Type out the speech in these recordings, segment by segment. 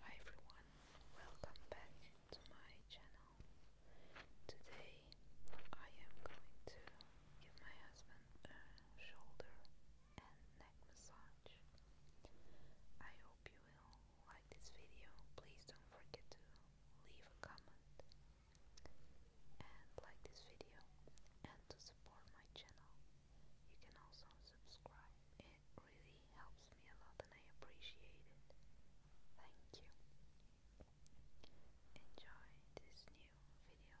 Hi everyone, welcome back to my channel. Today I am going to give my husband a shoulder and neck massage. I hope you will like this video. Please don't forget to leave a comment and like this video and to support my channel. You can also subscribe. It really helps me a lot and I appreciate it. Thank you. Enjoy this new video.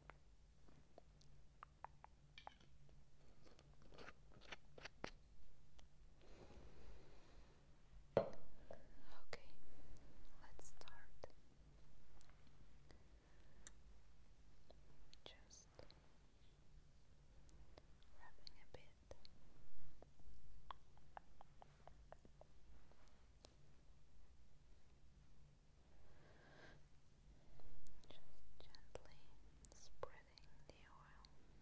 Okay, let's start. Just rubbing a bit. Just gently spreading the oil. Okay.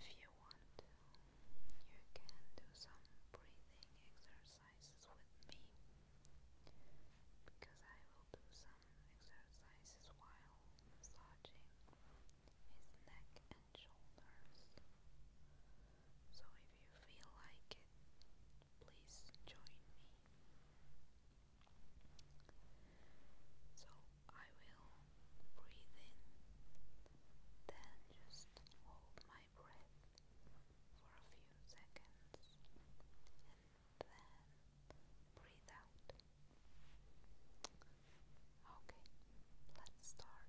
If you want to, you can do some breathing exercises with me because I will do some exercises while massaging his neck and and shoulders. So if you feel like it, please join me. So I will breathe in, then just hold my breath for a few seconds and then breathe out. Okay, let's start.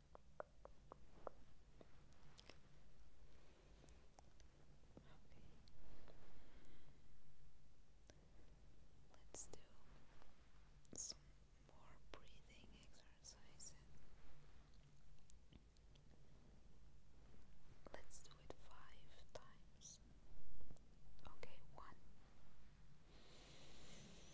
Let's do some more breathing exercises. Let's do it five times. Okay, one.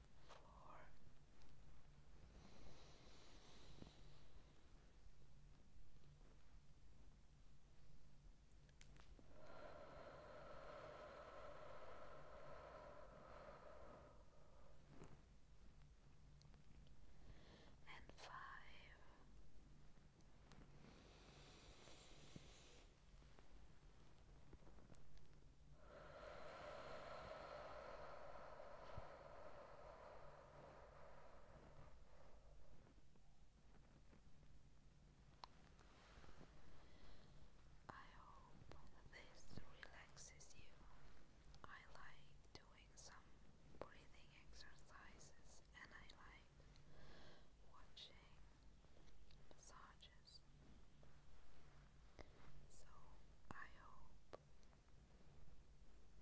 four, and five. I hope this relaxes you. I like doing some breathing exercises and I like watching massages. So I hope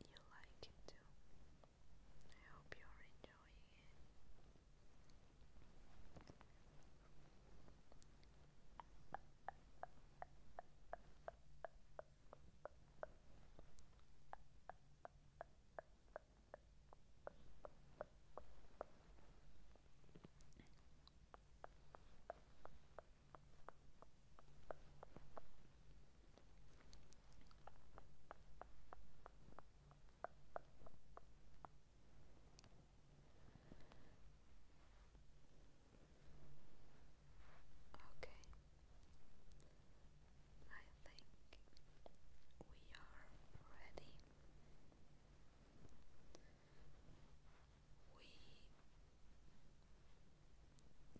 you like it too. I hope you're enjoying it. Okay. I think we are ready we can finish here. I hope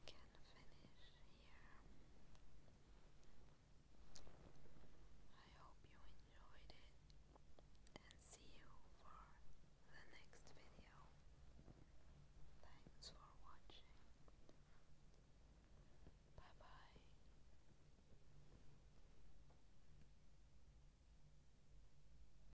you enjoyed it and see you for the next video. Thanks for watching. Bye bye.